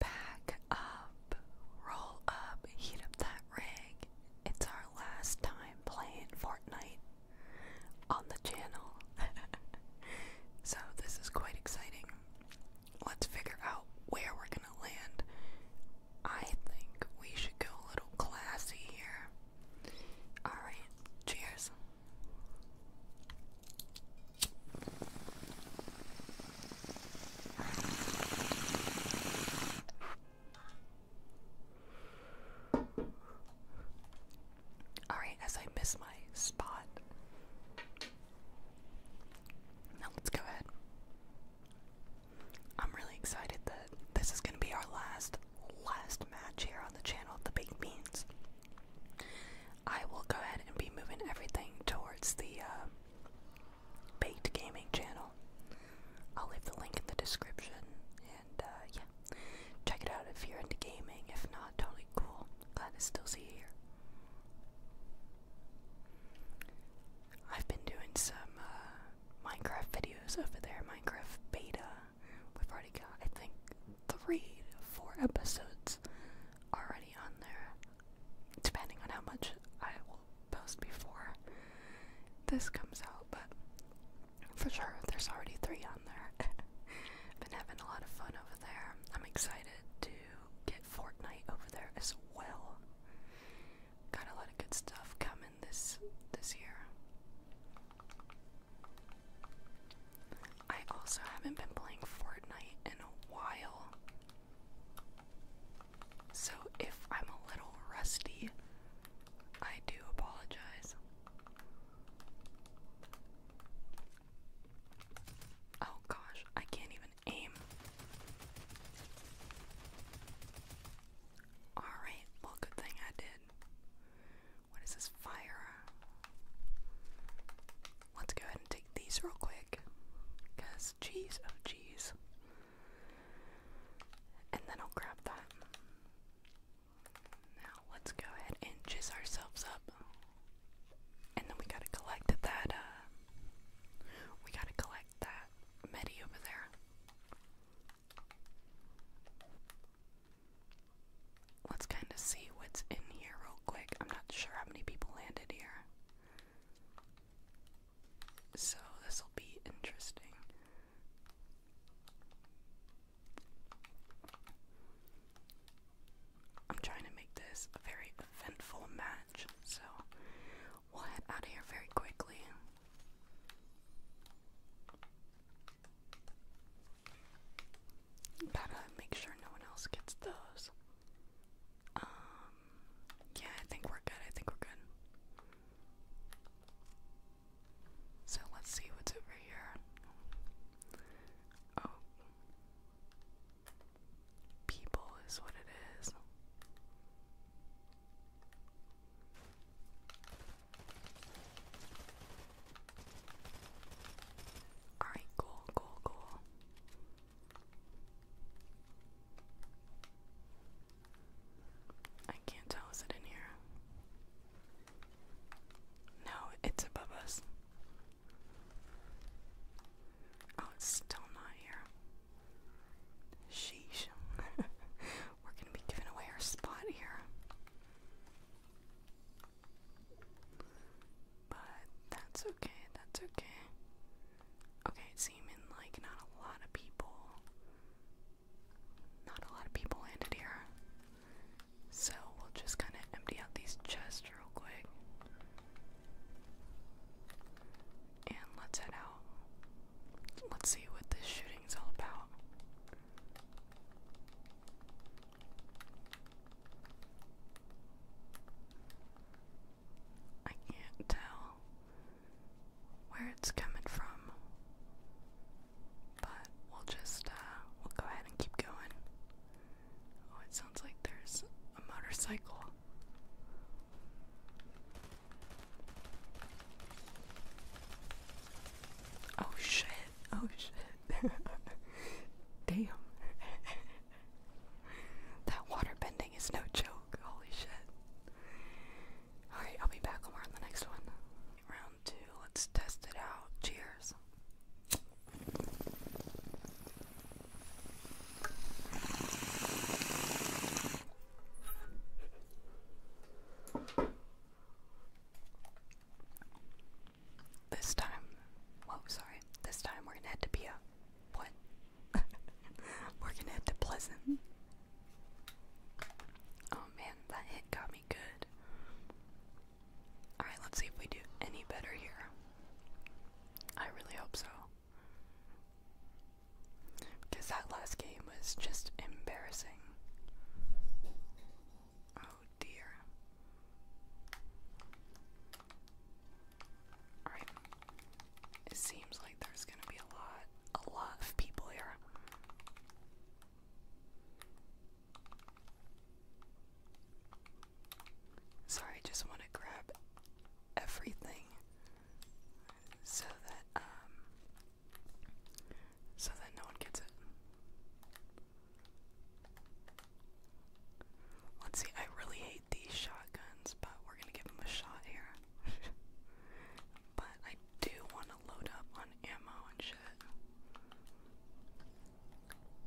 Back up, roll up, heat up that rig. It's our last time playing Fortnite on the channel. so, this is quite exciting. Let's figure out where we're gonna land. I think we should go a little classy here. Alright, cheers. Alright, as I miss my spot. Now let's go ahead. I'm really excited that this is gonna be our last last match here on the channel of the Big beans. I will go ahead and be moving everything towards the uh, Baked Gaming channel. I'll leave the link in the description, and uh, yeah, check it out if you're into gaming. If not, totally cool. Glad to still see you here. I've been doing some uh, Minecraft videos over there, Minecraft beta. We've already got, I think, three, four episodes already on there depending on how much I will post before this comes out, but for sure there's already three on there. Been having a lot of fun over there. I'm excited to get Fortnite over there as well. Got a lot of good stuff coming this this year. I also haven't been playing Fortnite in a while. So if I'm a little rusty, I do apologize. Oh gosh, I can't even aim. Alright, well, good thing I did. What is this fire? Let's go ahead and take these real quick because jeez, jeez, oh jeez. And then I'll grab that. Now let's go ahead and jizz ourselves up. And then we gotta collect that, uh, we gotta collect that Medi over there. Let's kind of see what's in here real quick. I'm not sure how many people landed here. So this will be interesting. I'm trying to make this a very eventful match, so we'll head out of here very quickly. Gotta make sure no one else gets those. Um, yeah, I think we're good. I think we're good. So let's see what's over here. Oh. People is what it is. Alright, cool, cool, cool. I can't tell, is it in here? No, it's above us. Oh, it's still not here. Sheesh. We're gonna be giving away our spot here. But that's okay, that's okay. Okay, seeming like not a lot of people. Not a lot of people landed here. So we'll just kind of empty out these chests real quick. And let's head out. Let's see what this shooting is all about. I can't tell where it's coming from. But we'll just, uh, we'll go ahead and keep going. Oh, it sounds like there's a motorcycle. Oh shit, oh shit. Damn. that water bending is no joke. Holy shit. Alright, I'll be back more on the next one. Round two, let's test it out. Cheers. This time, well, sorry, this time we're gonna head to Pia. What? We're gonna head to Pleasant. Oh man, that hit got me good. Alright, let's see if we do any better here. I really hope so. Because that last game was just embarrassing. Oh dear. Alright. It seems like there's gonna be a lot, a lot of people here. Sorry, I just want to grab everything so that, um, so that no one gets it. Let's see, I really hate these shotguns, but we're gonna give them a shot here. but I do want to load up on ammo and shit.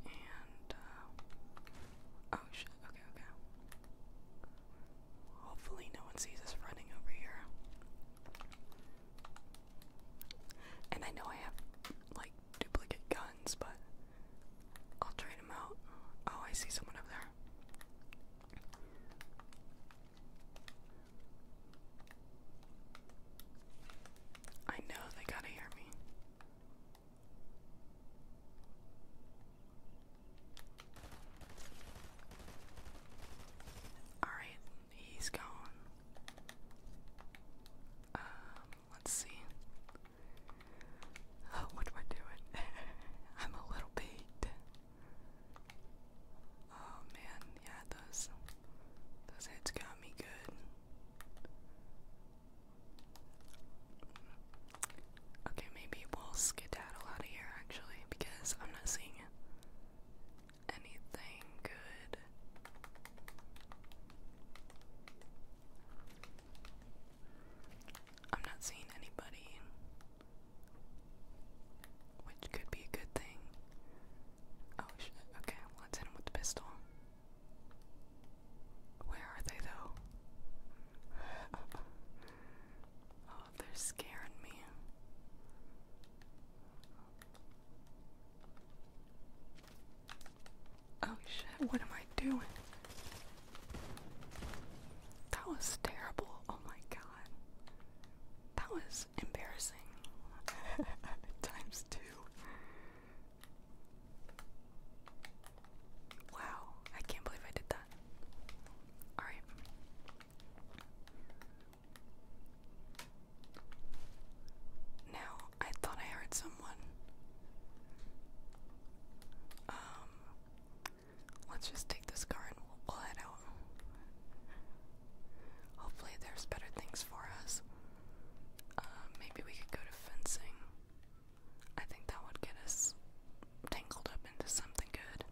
And, uh, oh shit, okay, okay. Hopefully, no one sees us running over here. And I know I have, like, duplicate guns, but I'll trade them out. Oh, I see someone over there. I know they gotta hear me. Alright, he's gone. Um, let's see. Oh, what am I doing? I'm a little beat. Oh man, yeah, those those hits got me good. Okay, maybe we'll skedaddle out of here actually because I'm not seeing anything good. I'm not seeing anybody. Which could be a good thing. Oh shit, okay, let's hit him with the pistol. Where are they though? oh, they're scaring me. Oh shit, what am I doing? That was terrible. Oh my god. That was embarrassing. Times two. Wow, I can't believe I did that. Alright. Now, I thought I heard someone. Um, Let's just take this car and we'll, we'll head out. Hopefully, there's better things for us. Uh, maybe we could go to fencing. I think that would get us tangled up into something good.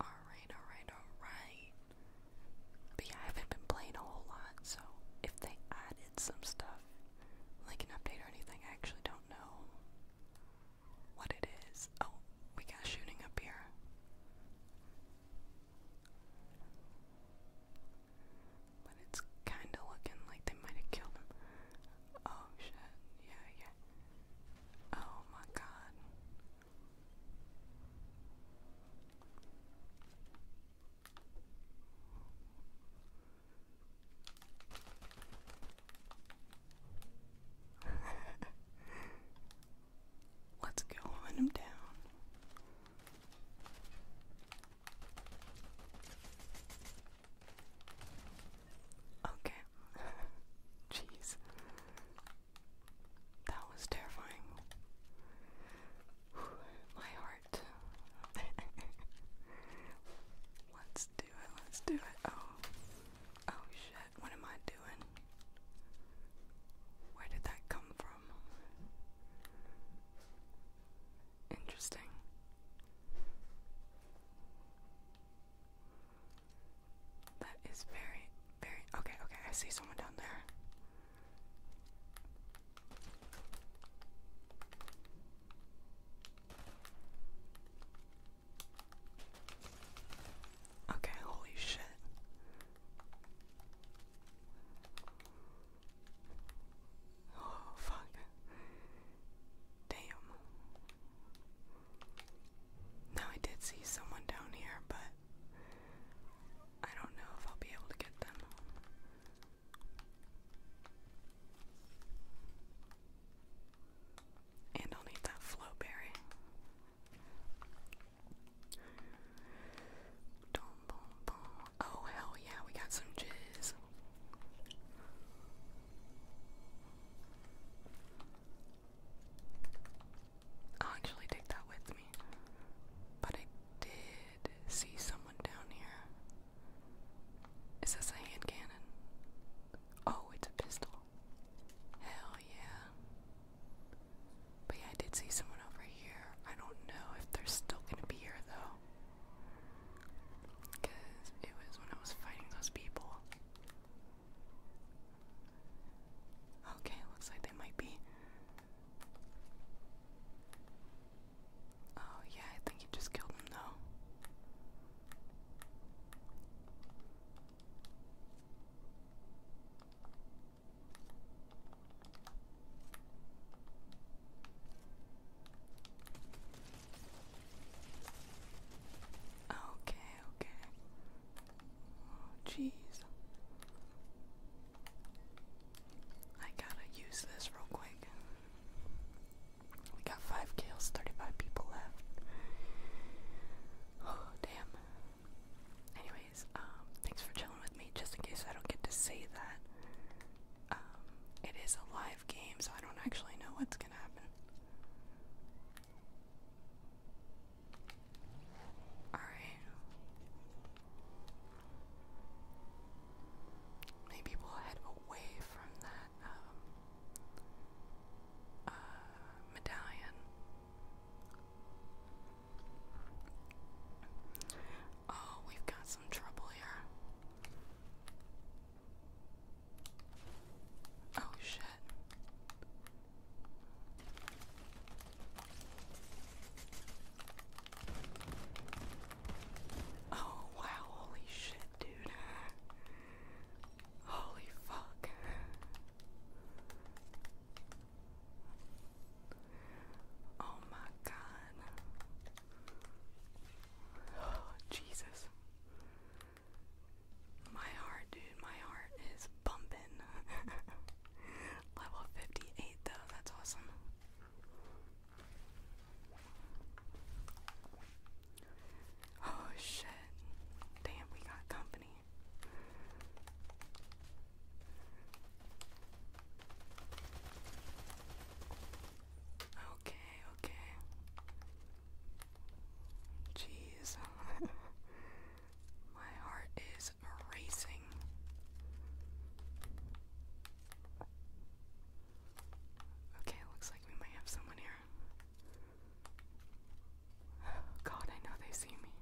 Alright, alright, alright. But yeah, I haven't been playing a whole lot, so if they added some stuff like an update or anything. I actually don't know what it is. Oh, we got shooting up here. But it's kinda looking like they might have killed him. Oh shit, yeah, yeah. Oh my god. Let's go on him down. Okay. Jeez. That was terrifying. My heart let's do it, let's do it. Oh. Oh shit, what am I doing? Where did that come from? Interesting. That is very, very. Okay, okay, I see someone down there. Okay, holy shit. Oh, fuck. Damn. Now I did see someone down here, but I don't know if I'll be able to get them. And I'll need that flowberry. Oh, hell yeah, we got some jizz. I'll actually take that with me. But I did see someone down here. Is this a hand cannon? Oh, it's a pistol. Hell yeah. But yeah, I did see someone over here. I don't know if they're still gonna be here though. Because it was when I was fighting those people. Okay, looks like they might be. Oh, yeah, I think he just killed him, though. Okay, okay. Oh, jeez. I gotta use this real quick. We got five kills, 35 people left. Oh, damn. Anyways, um, thanks for chilling with me. Just in case I don't get to say that, um, it is a live game, so I don't actually know what's gonna happen. Alright. Maybe we'll head away from that. Um, medallion. Oh, we've got some trouble here. Oh, shit. Oh wow, holy shit, dude. Holy fuck. Oh my god. Oh, Jesus. My heart, dude, my heart is bumping. Level 58, though, that's awesome. Oh shit. Damn, we got company. Okay, okay. Jeez. My heart is racing. Okay, looks we might have someone here. God, I know they see me.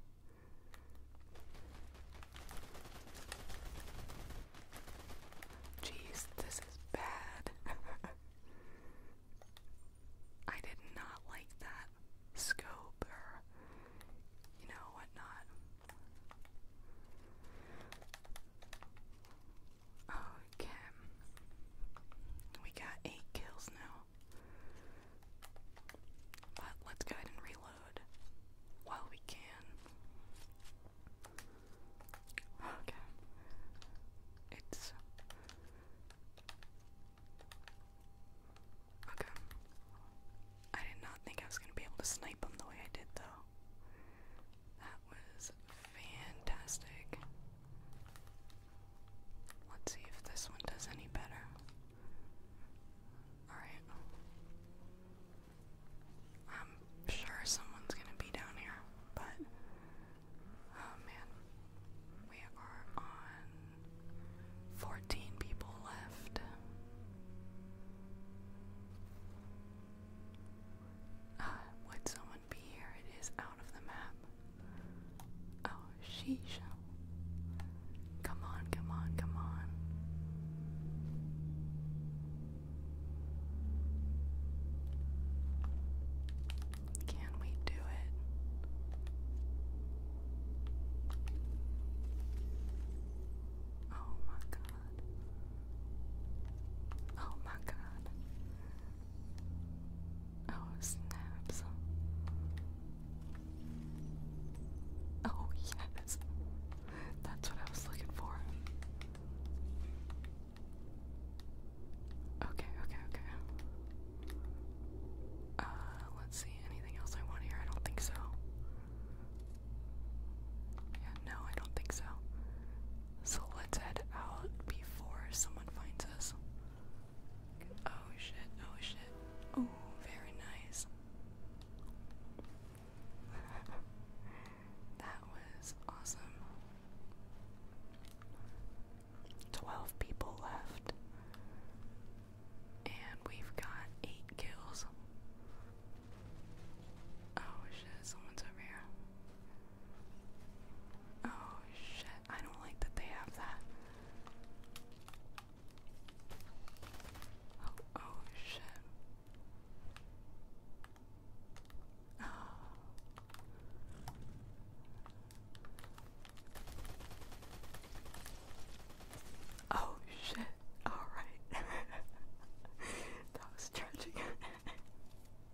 Jeez, this is bad. I did not like that scope or, you know, whatnot. Okay. We got eight kills now. But let's go ahead and reload while we can. Okay. It's. Okay. I did not think I was going to be able to snipe him the way I did, though. That was fantastic. Let's see if this one does any better. Alright. I'm sure someone's gonna be down here, but. Oh man. We are on 14 people left. Uh, would someone be here? It is out of the map. Oh, sheesh. Come on, come on, come on. Can we do it? Oh my god. Oh my god. Oh, snaps. Oh, yes. That's what I was looking for. Okay, okay, okay. Uh, let's see. Anything else I want here? I don't think so. Yeah, no, I don't think so. So let's head out before someone finds us. Oh shit, oh shit. Oh, very nice. that was awesome. 12 people left. And we've got 8 kills. Oh shit, someone's over here. Oh shit, I don't like that they have that. Oh, oh shit. Oh. Oh shit. All right. that was tragic.